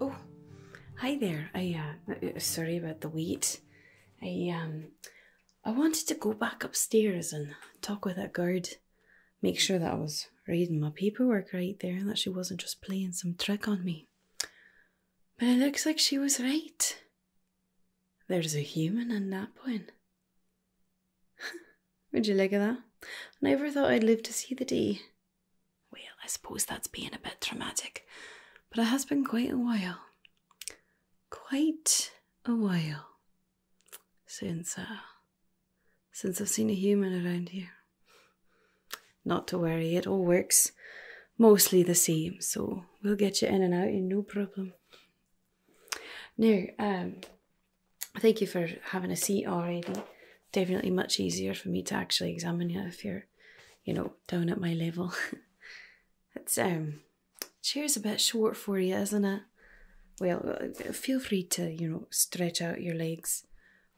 Oh, hi there. I uh, uh, sorry about the wait. I um, I wanted to go back upstairs and talk with that guard, make sure that I was reading my paperwork right there and that she wasn't just playing some trick on me. But it looks like she was right. There's a human in that one. Would you look at that? I never thought I'd live to see the day. Well, I suppose that's being a bit dramatic, but it has been quite a while. Quite a while since uh, since I've seen a human around here. Not to worry, it all works mostly the same, so we'll get you in and out in no problem. Now, um, Thank you for having a seat already. Definitely much easier for me to actually examine you if you're, you know, down at my level. it's um, chair's a bit short for you, isn't it? Well, uh, feel free to you know stretch out your legs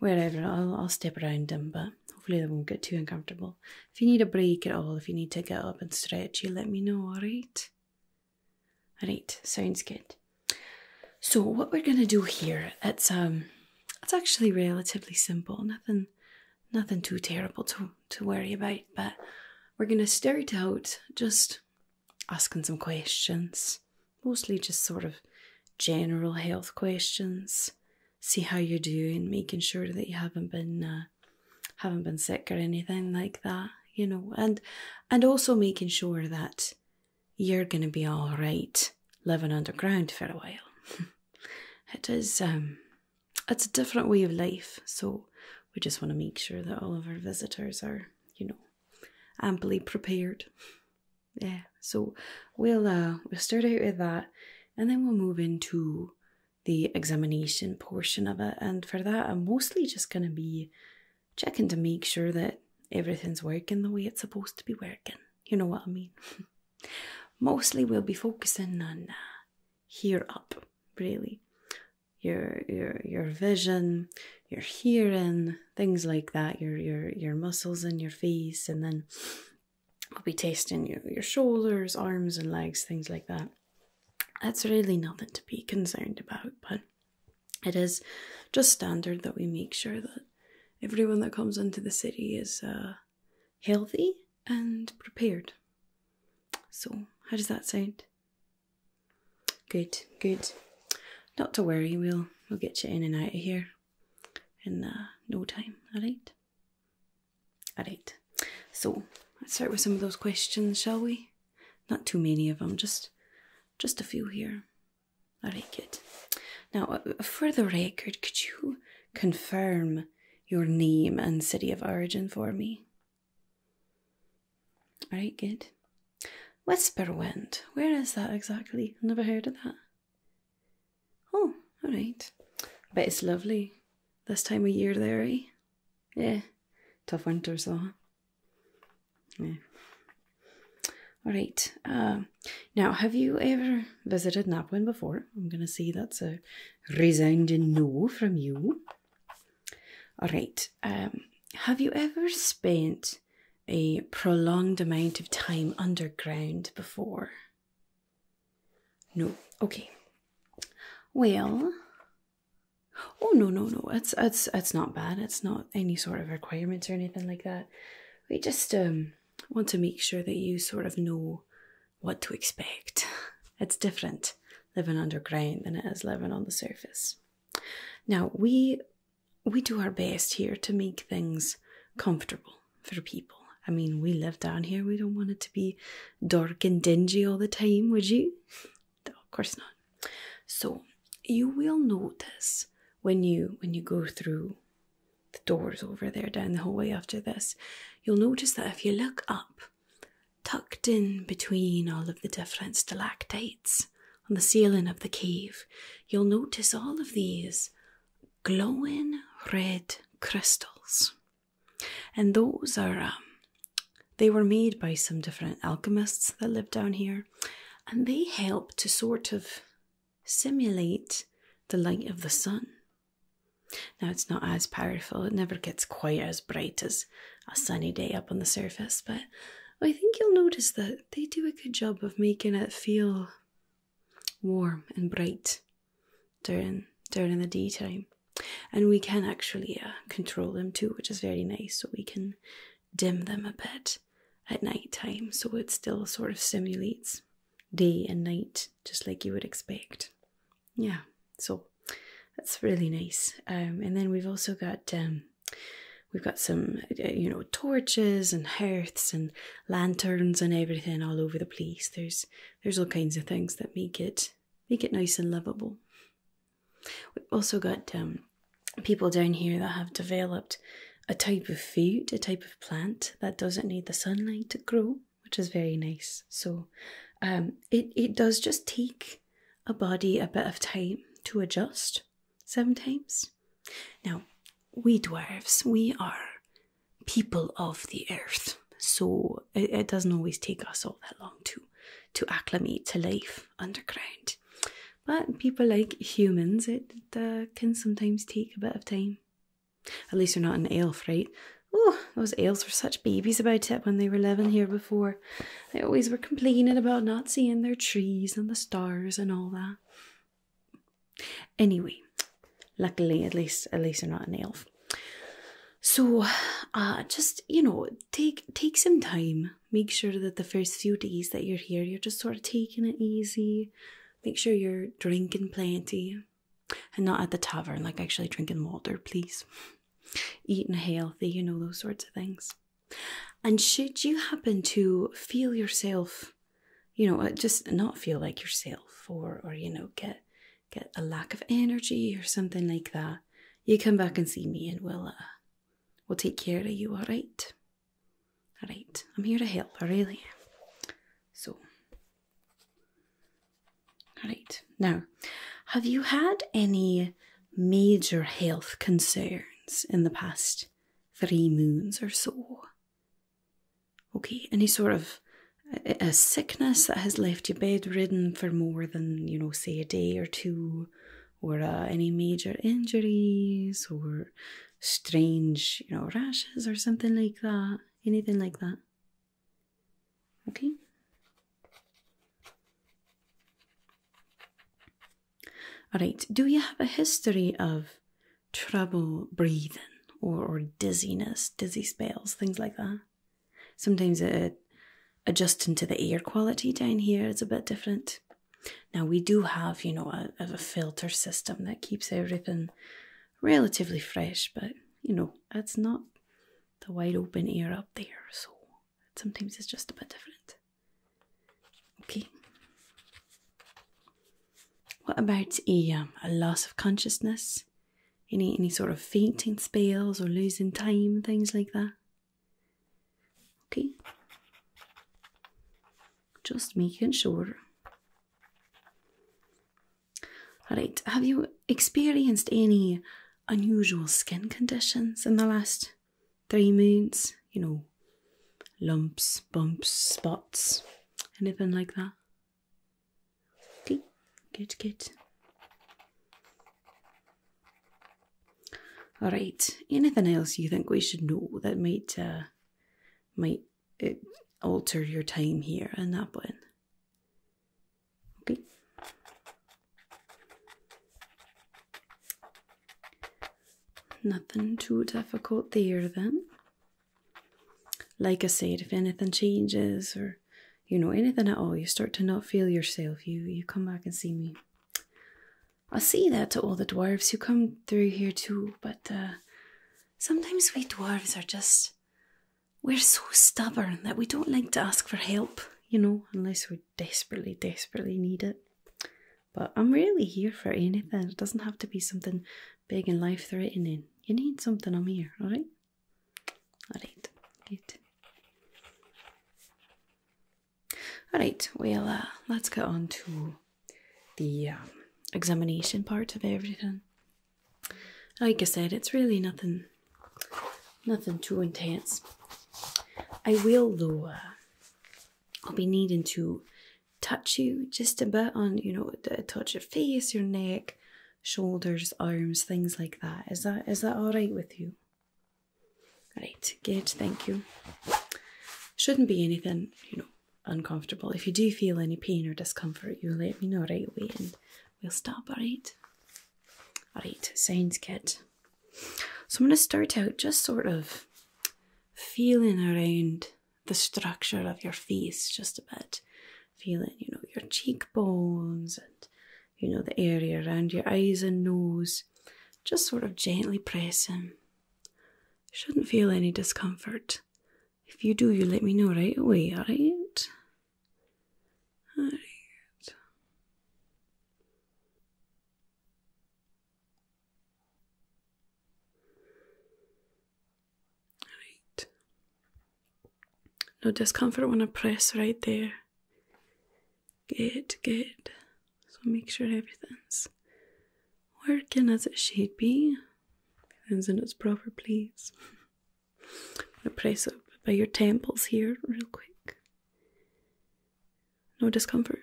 wherever. I'll I'll step around them, but hopefully they won't get too uncomfortable. If you need a break at all, if you need to get up and stretch, you let me know. All right. Right, sounds good. So what we're gonna do here, it's um, it's actually relatively simple. Nothing, nothing too terrible to to worry about. But we're gonna start out just asking some questions, mostly just sort of general health questions. See how you're doing, making sure that you haven't been uh, haven't been sick or anything like that, you know, and and also making sure that you're gonna be all right living underground for a while. it is um it's a different way of life, so we just want to make sure that all of our visitors are, you know, amply prepared. Yeah, so we'll uh we'll start out with that and then we'll move into the examination portion of it. And for that I'm mostly just gonna be checking to make sure that everything's working the way it's supposed to be working. You know what I mean? Mostly we'll be focusing on uh, here up, really. Your your your vision, your hearing, things like that, your your your muscles and your face, and then we will be testing your, your shoulders, arms and legs, things like that. That's really nothing to be concerned about, but it is just standard that we make sure that everyone that comes into the city is uh, healthy and prepared. So, how does that sound? Good, good. Not to worry, we'll we'll get you in and out of here in uh, no time. All right. All right. So let's start with some of those questions, shall we? Not too many of them, just just a few here. All right, good. Now, uh, uh, for the record, could you confirm your name and city of origin for me? All right, good. Whisperwind, where is that exactly? Never heard of that. Oh, all right. I bet it's lovely this time of year there, eh? Yeah, tough winter, so. Yeah. All right. Uh, now, have you ever visited Naplin before? I'm going to see that's a resounding no from you. All right. Um, have you ever spent a prolonged amount of time underground before? No. Okay. Well. Oh no no no! It's it's it's not bad. It's not any sort of requirements or anything like that. We just um, want to make sure that you sort of know what to expect. It's different living underground than it is living on the surface. Now we we do our best here to make things comfortable for people. I mean, we live down here. We don't want it to be dark and dingy all the time, would you? of course not. So you will notice when you when you go through the doors over there down the hallway after this, you'll notice that if you look up, tucked in between all of the different stalactites on the ceiling of the cave, you'll notice all of these glowing red crystals. And those are um, they were made by some different alchemists that lived down here and they help to sort of simulate the light of the sun. Now, it's not as powerful, it never gets quite as bright as a sunny day up on the surface, but I think you'll notice that they do a good job of making it feel warm and bright during during the daytime. And we can actually uh, control them too, which is very nice, so we can dim them a bit at night time, so it still sort of simulates day and night just like you would expect. Yeah, so that's really nice. Um, and then we've also got um, we've got some uh, you know torches and hearths and lanterns and everything all over the place. There's there's all kinds of things that make it make it nice and lovable. We've also got um, people down here that have developed a type of food, a type of plant that doesn't need the sunlight to grow, which is very nice. So um, it, it does just take a body a bit of time to adjust sometimes. Now, we dwarves, we are people of the earth. So it, it doesn't always take us all that long to to acclimate to life underground. But people like humans, it uh, can sometimes take a bit of time. At least you are not an elf, right? Oh, those elves were such babies about it when they were living here before. They always were complaining about not seeing their trees and the stars and all that. Anyway, luckily, at least, at least they're not an elf. So, uh, just you know, take take some time Make sure that the first few days that you're here, you're just sort of taking it easy. Make sure you're drinking plenty and not at the tavern, like actually drinking water, please. Eating healthy, you know, those sorts of things. And should you happen to feel yourself, you know, uh, just not feel like yourself or, or you know, get get a lack of energy or something like that, you come back and see me and we'll, uh, we'll take care of you, all right? Alright, I'm here to help, really So, alright, now, have you had any major health concerns in the past three moons or so? Okay, any sort of a sickness that has left you bedridden for more than, you know, say a day or two, or uh, any major injuries or strange, you know, rashes or something like that. Anything like that. Okay. All right. Do you have a history of trouble breathing or, or dizziness, dizzy spells, things like that? Sometimes it, adjusting to the air quality down here is a bit different. Now, we do have, you know, a, filter system that keeps everything relatively fresh, but you know, it's not the wide open air up there, so sometimes it's just a bit different. Okay. What about a, um, a loss of consciousness? Any any sort of fainting spells or losing time, things like that? Okay, just making sure. Alright, have you experienced any unusual skin conditions in the last three months? You know, lumps, bumps, spots, anything like that? Okay, good, good. All right. Anything else you think we should know that might uh, might uh, alter your time here and that one? Okay. Nothing too difficult there then. Like I said, if anything changes or you know anything at all, you start to not feel yourself. You you come back and see me. I see that to all the dwarves who come through here too, but uh, sometimes we dwarves are just. We're so stubborn that we don't like to ask for help, you know, unless we desperately, desperately need it. But I'm really here for anything. It doesn't have to be something big and life threatening. You need something, I'm here, alright? Alright, good. All right, well, uh, let's get on to the um, examination part of everything. Like I said, it's really nothing, nothing too intense. I will though. Uh, I'll be needing to touch you just a bit on, you know, touch your face, your neck, shoulders, arms, things like that. Is that is that all right with you? Right, good, thank you. Shouldn't be anything, you know, uncomfortable. If you do feel any pain or discomfort, you let me know right away and we'll stop, alright? Alright, Science kit. So I'm going to start out just sort of feeling around the structure of your face just a bit. Feeling, you know, your cheekbones and, you know, the area around your eyes and nose. Just sort of gently pressing Shouldn't feel any discomfort. If you do, you let me know right away, alright? Alright. No discomfort when I press right there. Good, good. So make sure everything's working as it should be. Everything's in its proper place. I'm press up by your temples here real quick. No discomfort.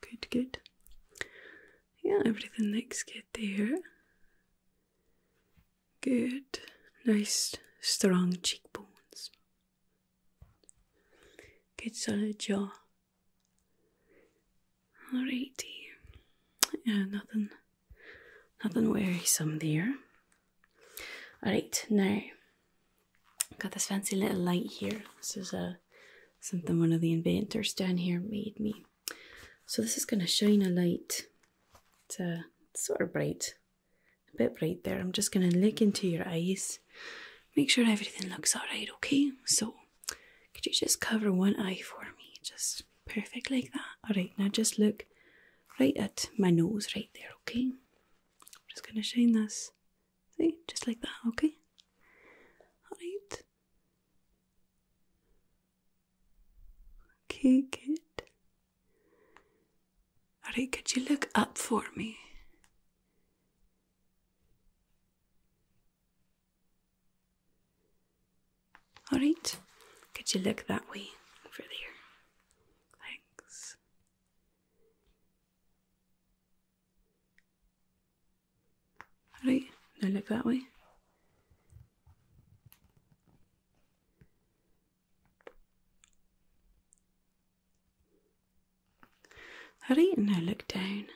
Good, good. Yeah, everything looks good there. Good. Nice strong cheekbones. Good solid jaw. Alrighty. Yeah, nothing nothing wearisome there. Alright, now got this fancy little light here. This is a something one of the inventors down here made me. So this is gonna shine a light. It's, uh, sort of bright. A bit bright there. I'm just gonna look into your eyes Make sure everything looks alright, okay? So, could you just cover one eye for me? Just perfect like that. Alright, now just look right at my nose right there, okay? I'm just gonna shine this. See? Just like that, okay? Alright. Okay, kid. Alright, could you look up for me? All right, could you look that way over there? Thanks. All right, now look that way. Ready? Now look down.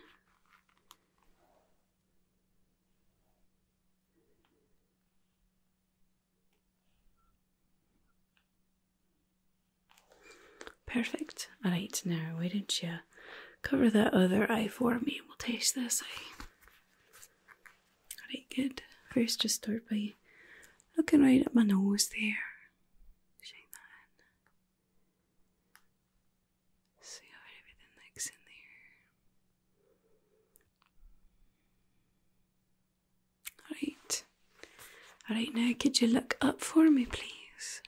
Perfect. Alright, now why did not you cover that other eye for me? We'll taste this Alright, good. First, just start by looking right at my nose there. See how everything looks in there. Alright. Alright, now could you look up for me, please?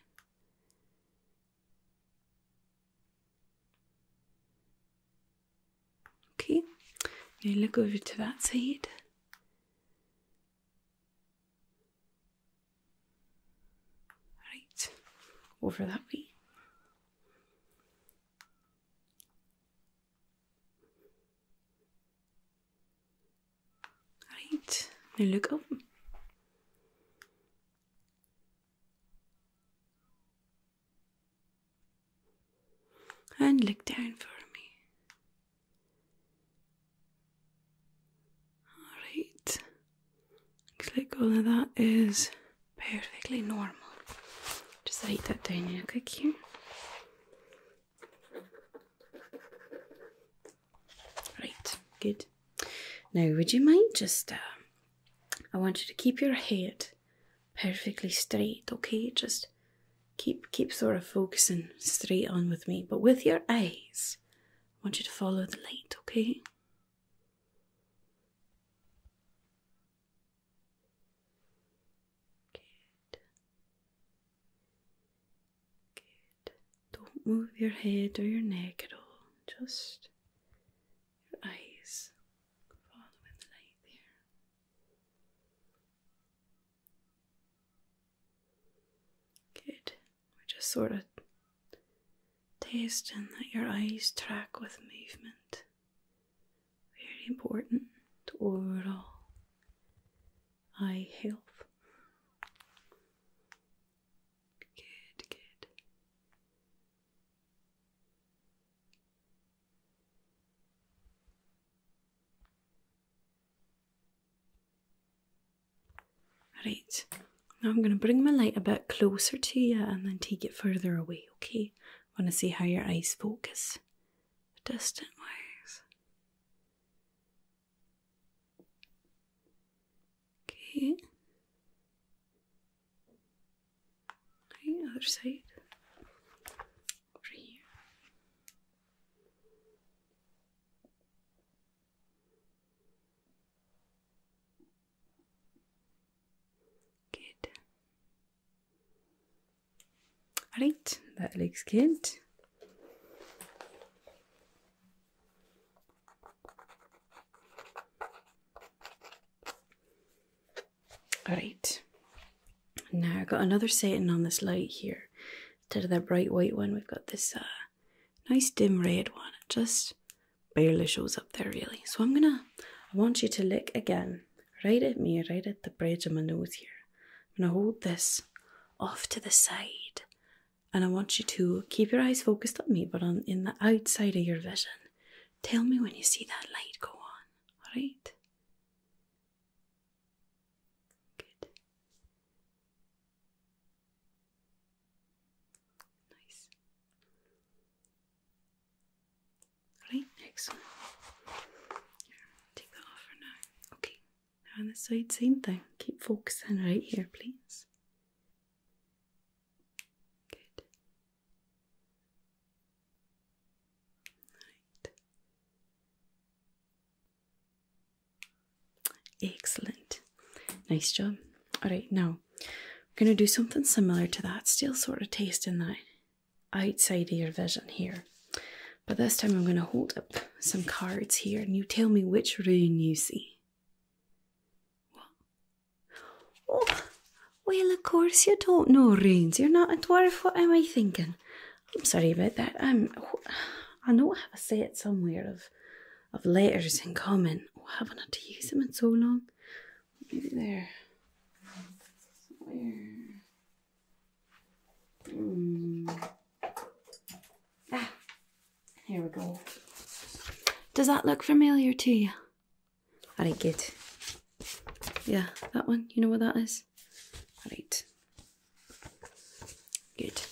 Okay. Now look over to that side. Right, over that way. Right, now look up. And look down for me. Alright, looks like all of that is perfectly normal. Just write that down real quick here. Right, good. Now, would you mind just, uh, I want you to keep your head perfectly straight, okay? Just keep, keep sort of focusing straight on with me, but with your eyes, I want you to follow the light, okay? Good. Good. Don't move your head or your neck at all, just your eyes following the light there. Good or just sort of testing that your eyes track with movement. Very important to overall eye health. Good, good. Right, now I'm going to bring my light a bit closer to you and then take it further away, okay? want to see how your eyes focus distant wise. Okay. Okay, other side. Over here. Good. Alright, that looks good. Alright, now I've got another setting on this light here. Instead of that bright white one, we've got this uh, nice dim red one. It just barely shows up there really. So I'm gonna I want you to look again right at me, right at the bridge of my nose here. I'm gonna hold this off to the side and I want you to keep your eyes focused on me, but on in the outside of your vision. Tell me when you see that light go on, alright? Good. Nice. Right, excellent. Here, take that off for now. Okay, now on the side, same thing. Keep focusing right here, please. Good. Right. Excellent. Nice job. All right, now we're going to do something similar to that, still sort of tasting that outside of your vision here. But this time I'm going to hold up some cards here and you tell me which rune you see. Oh, well, of course you don't know runes. You're not a dwarf. What am I thinking? I'm sorry about that. i I know I have a set somewhere of of letters in common. We oh, haven't had to use them in so long. Maybe there. Somewhere. Hmm. Ah, here we go. Does that look familiar to you? Alright, good. Yeah, that one. You know what that is? Alright. Good,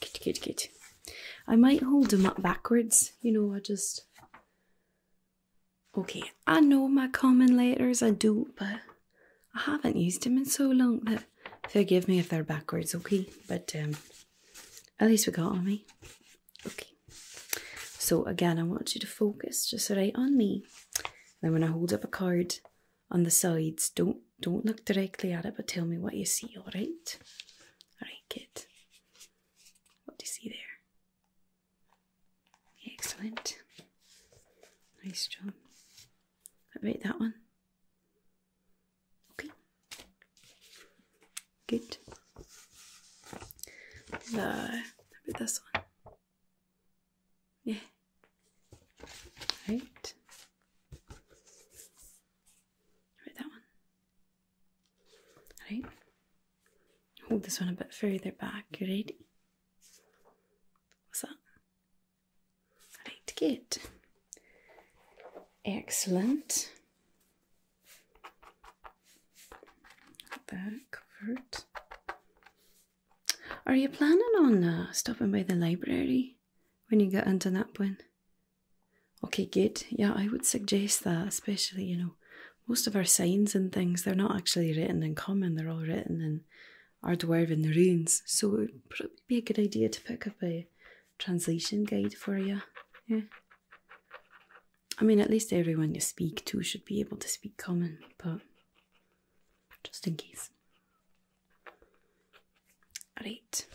good, good, good. I might hold them up backwards, you know, I just. Okay, I know my common letters, I do, but I haven't used them in so long that forgive me if they're backwards, okay? But um, at least we got on me. Eh? Okay. So again, I want you to focus just right on me. Then when I hold up a card on the sides, don't don't look directly at it, but tell me what you see, all right? All right, good. What do you see there? Excellent. Nice job. How about that one? Okay. Good. The, how this one? Yeah. Right. Right, that one. Right. Hold oh, this one a bit further back. You are ready? What's that? Right, good. Excellent. Got that covered. Are you planning on uh, stopping by the library when you get into that one? Okay, good. Yeah, I would suggest that, especially, you know, most of our signs and things, they're not actually written in common, they're all written in Ardwarven runes. So it would probably be a good idea to pick up a translation guide for you. Yeah. I mean, at least everyone you speak to should be able to speak common, but just in case. Alright.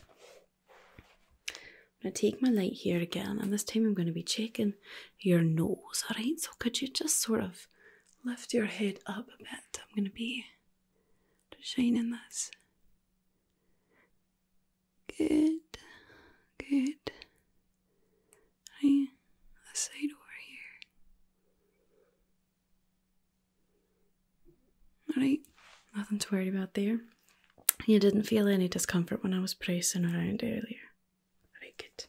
I'm going to take my light here again, and this time I'm going to be checking your nose, alright? So could you just sort of lift your head up a bit? I'm going to be shining this. Good, good. Right, this side over here. Alright, nothing to worry about there. You didn't feel any discomfort when I was pressing around earlier. Alright, good.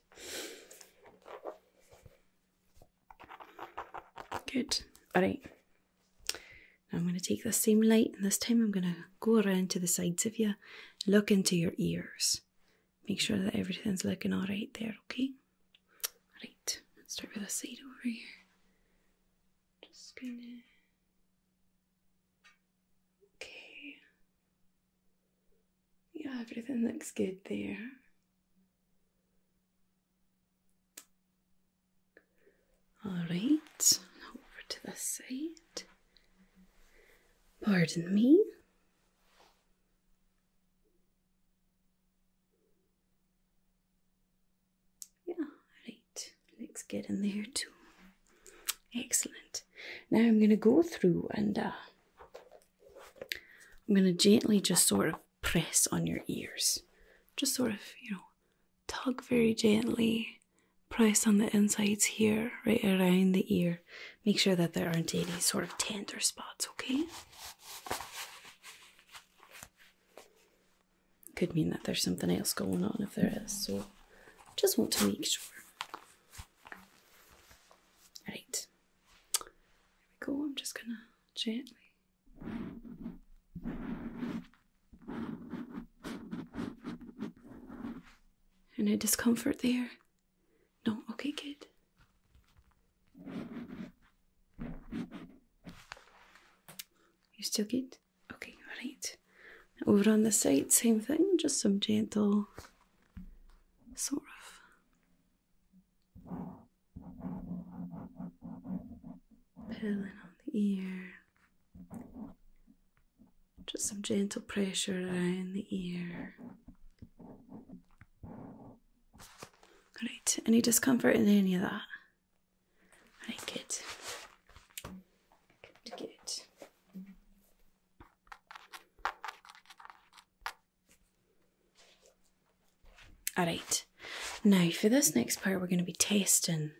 Good. Alright. Now I'm going to take the same light and this time I'm going to go around to the sides of you, look into your ears. Make sure that everything's looking alright there, okay? Alright, let's start with the side over here. Just gonna Okay. Yeah, everything looks good there. All right, over to the side. Pardon me. Yeah, right. Looks good in there too. Excellent. Now I'm going to go through and uh, I'm going to gently just sort of press on your ears. Just sort of, you know, tug very gently, press on the insides here, right around the ear. Make sure that there aren't any sort of tender spots, okay? Could mean that there's something else going on if there is, so just want to make sure. Right. There we go, I'm just gonna gently. Any discomfort there? No? Okay, kid. You still good? Okay, right. Over on the side, same thing, just some gentle sort of pulling on the ear. Just some gentle pressure around the ear. Alright, any discomfort in any of that? Right, good. Good, good. Alright, now for this next part, we're going to be testing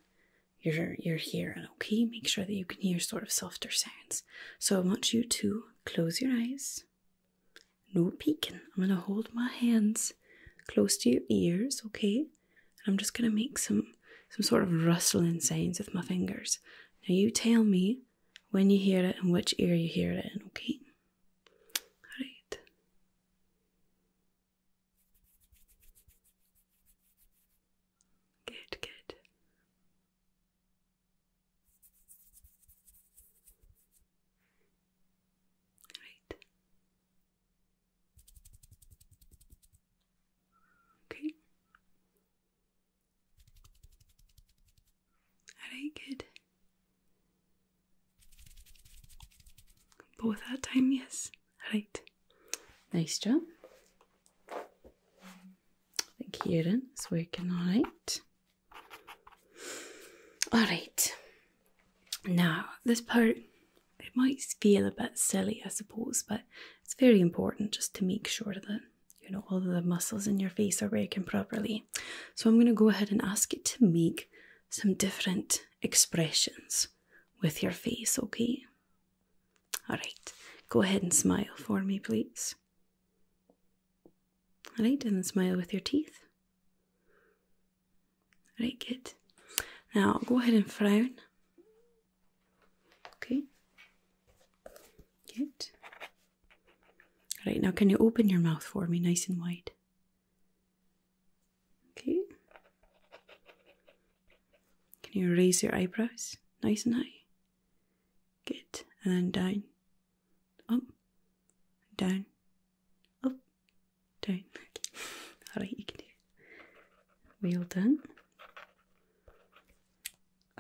your, your hearing, okay? Make sure that you can hear sort of softer sounds. So I want you to close your eyes, no peeking. I'm going to hold my hands close to your ears, okay? I'm just going to make some some sort of rustling sounds with my fingers. Now you tell me when you hear it and which ear you hear it in, okay? Alright. Good, good. Right. Okay. Alright, good. Both that time, yes. All right. Nice job. Thank you, Kieran is working alright. Alright. Now, this part, it might feel a bit silly, I suppose, but it's very important just to make sure that you know all the muscles in your face are working properly. So I'm going to go ahead and ask you to make some different expressions with your face, okay? All right, go ahead and smile for me, please. All right, and smile with your teeth. Right, good. Now go ahead and frown. Okay. Good. Right, now can you open your mouth for me nice and wide? Okay. Can you raise your eyebrows nice and high? Good. And then down, up, down, up, down. Alright, you can do Well done.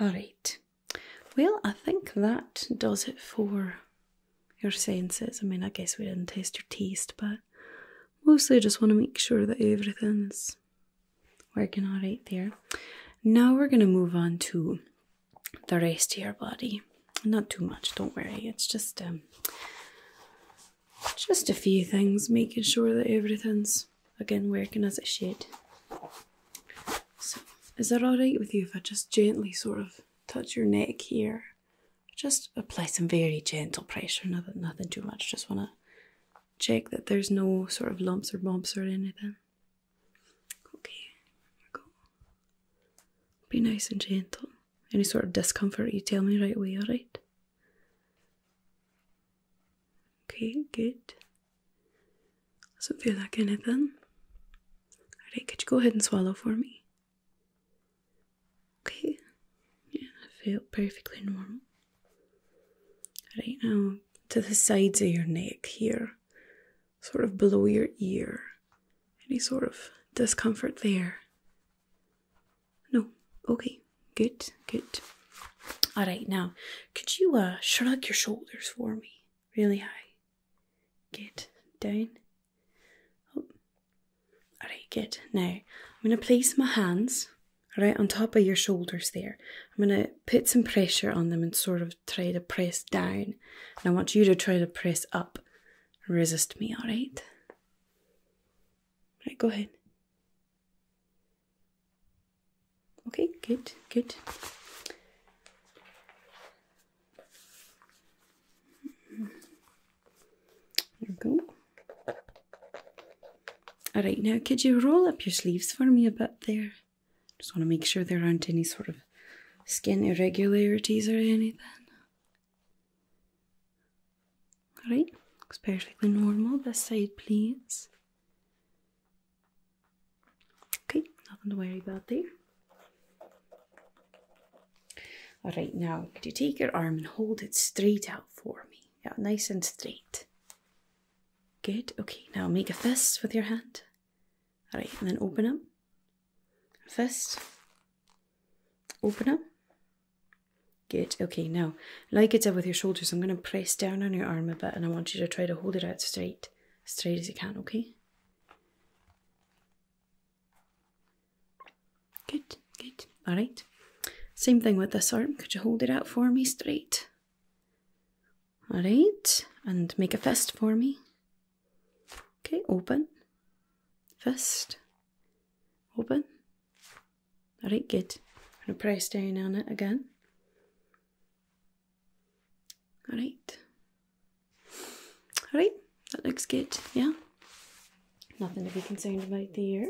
Alright. Well, I think that does it for your senses. I mean, I guess we didn't test your taste, but mostly I just want to make sure that everything's working all right there. Now we're going to move on to the rest of your body. Not too much, don't worry. It's just um, just a few things, making sure that everything's again working as it should. So, is that alright with you if I just gently sort of touch your neck here? Just apply some very gentle pressure, nothing, nothing too much. Just want to check that there's no sort of lumps or bumps or anything. Okay, go. Be nice and gentle any sort of discomfort, you tell me right away, alright? Okay, good. Doesn't feel like anything. Alright, could you go ahead and swallow for me? Okay. Yeah, I felt perfectly normal. Right now, to the sides of your neck here, sort of below your ear. Any sort of discomfort there? No. Okay. Good. Good. All right. Now, could you uh, shrug your shoulders for me, really high? Good. Down. Up. Oh. All right. Good. Now, I'm gonna place my hands right on top of your shoulders there. I'm going to put some pressure on them and sort of try to press down. And I want you to try to press up. Resist me, all right? All right, go ahead. Okay, good, good. There we go. All right, now could you roll up your sleeves for me a bit there? Just want to make sure there aren't any sort of skin irregularities or anything. Alright, looks perfectly normal. This side, please. Okay, nothing to worry about there. Alright, now could you take your arm and hold it straight out for me? Yeah, nice and straight. Good. Okay, now make a fist with your hand. Alright, and then open up. Fist. Open up. Good. Okay, now, like I did with your shoulders, I'm going to press down on your arm a bit and I want you to try to hold it out straight, straight as you can, okay? Good, good. All right. Same thing with this arm. Could you hold it out for me straight? All right. And make a fist for me. Okay, open. Fist. Open. Alright, good. I'm going to press down on it again. Alright. Alright, that looks good, yeah? Nothing to be concerned about there.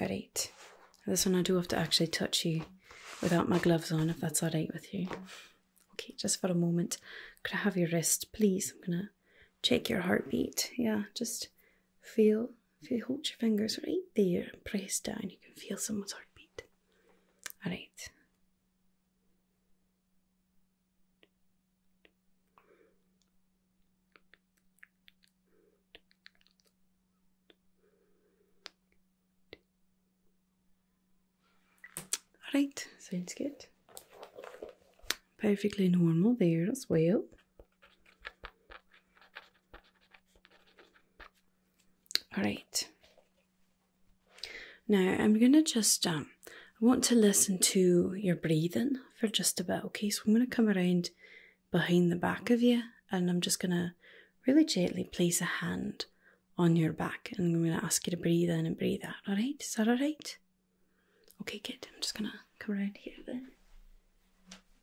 Alright. This one I do have to actually touch you without my gloves on if that's alright with you. Okay, just for a moment. could i have your wrist, please. I'm gonna check your heartbeat. Yeah, just feel feel hold your fingers right there and press down. You can feel someone's heartbeat. Alright. Alright, sounds good. Perfectly normal there as well. Alright. Now I'm gonna just um I want to listen to your breathing for just a bit, okay? So I'm gonna come around behind the back of you and I'm just gonna really gently place a hand on your back, and I'm going to ask you to breathe in and breathe out. All right? Is that all right? Okay, kid. I'm just going to come around here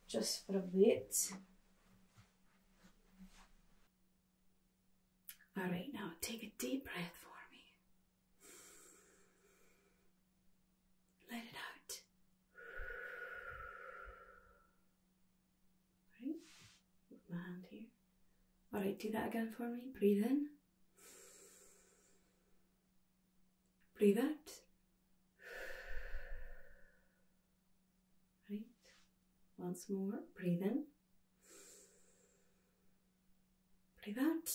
just for a bit. All right, now take a deep breath for me. Let it out. Right? With my hand here. Alright, do that again for me. Breathe in. Breathe out. Right. Once more. Breathe in. Breathe out.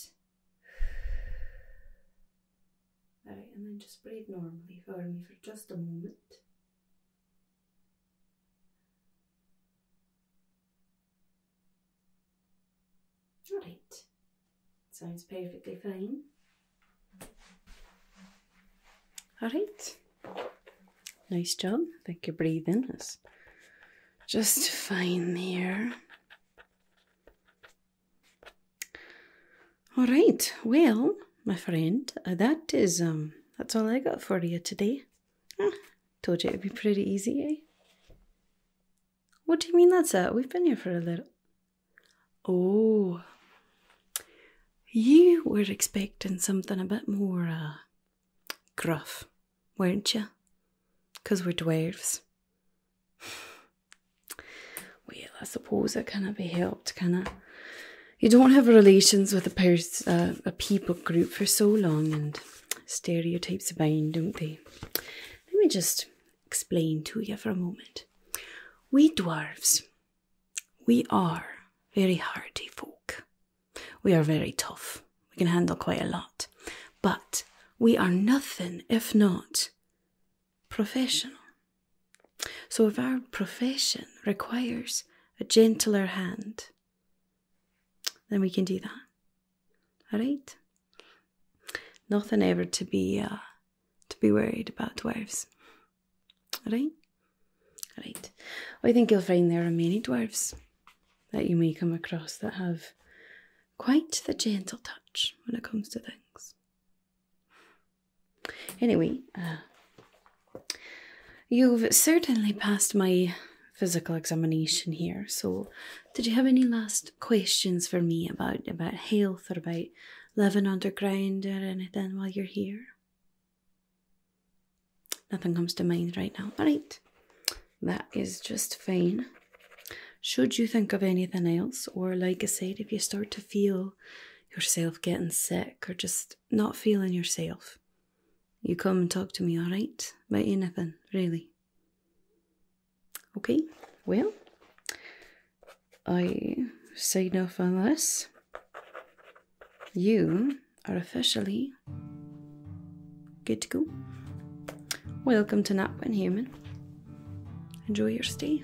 Alright, and then just breathe normally for me for just a moment. All right, sounds perfectly fine. All right, nice job. Thank you your breathing is just fine there. All right, well, my friend, uh, that is um, that's all I got for you today told you it would be pretty easy, eh? What do you mean that's it? We've been here for a little. Oh, you were expecting something a bit more uh, gruff, weren't you? Because we're dwarves. well, I suppose it cannot be helped, can it? You don't have relations with a, pers- uh, a people group for so long, and stereotypes abound, don't they? Let me just explain to you for a moment. We dwarfs, we are very hardy folk. We are very tough. We can handle quite a lot. But we are nothing if not professional. So if our profession requires a gentler hand, then we can do that. All right. Nothing ever to be uh, to be worried about dwarves. All right. All right. I think you'll find there are many dwarves that you may come across that have quite the gentle touch when it comes to things. Anyway, uh, you've certainly passed my physical examination here. So, did you have any last questions for me about about health or about living underground or anything while you're here? Nothing comes to mind right now. All right, that is just fine. Should you think of anything else, or like I said, if you start to feel yourself getting sick or just not feeling yourself, you come and talk to me, alright? About anything, really. Okay, well, I say off Unless You are officially good to go. Welcome to Napwin Human. Enjoy your stay.